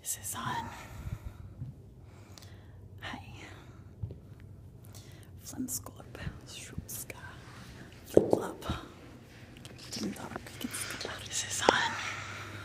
This is on. Hi. Flimsklip, Shroopska, Flip Flop, Ding This is on.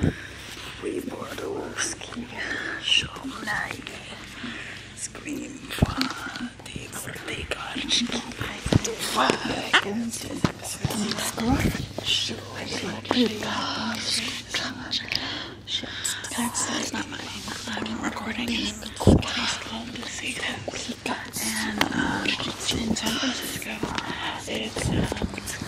We Wybordowski Szumlaj Scream for for Fady Gordy Garczki I'm recording in the courthouse called the Season. And uh, in San Francisco, it's um,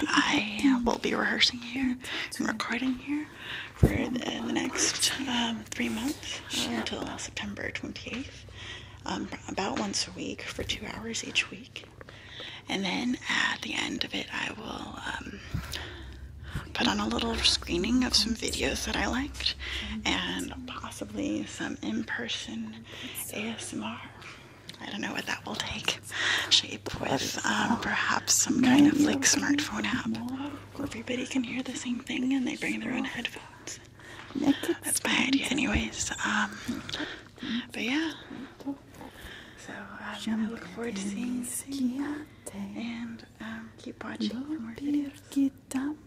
I will be rehearsing here and recording here for the, next um, three months uh, until September 28th, um, about once a week for two hours each week. And then at the end of it, I will um, put on a little screening of some videos that I liked and possibly some in person ASMR. I don't know what that will take shape with um, perhaps some kind of like smartphone app where everybody can hear the same thing and they bring their own headphones. That's bad. idea, anyways. Um, but yeah. So um, I'm looking forward to seeing you soon. And um, keep watching for more videos.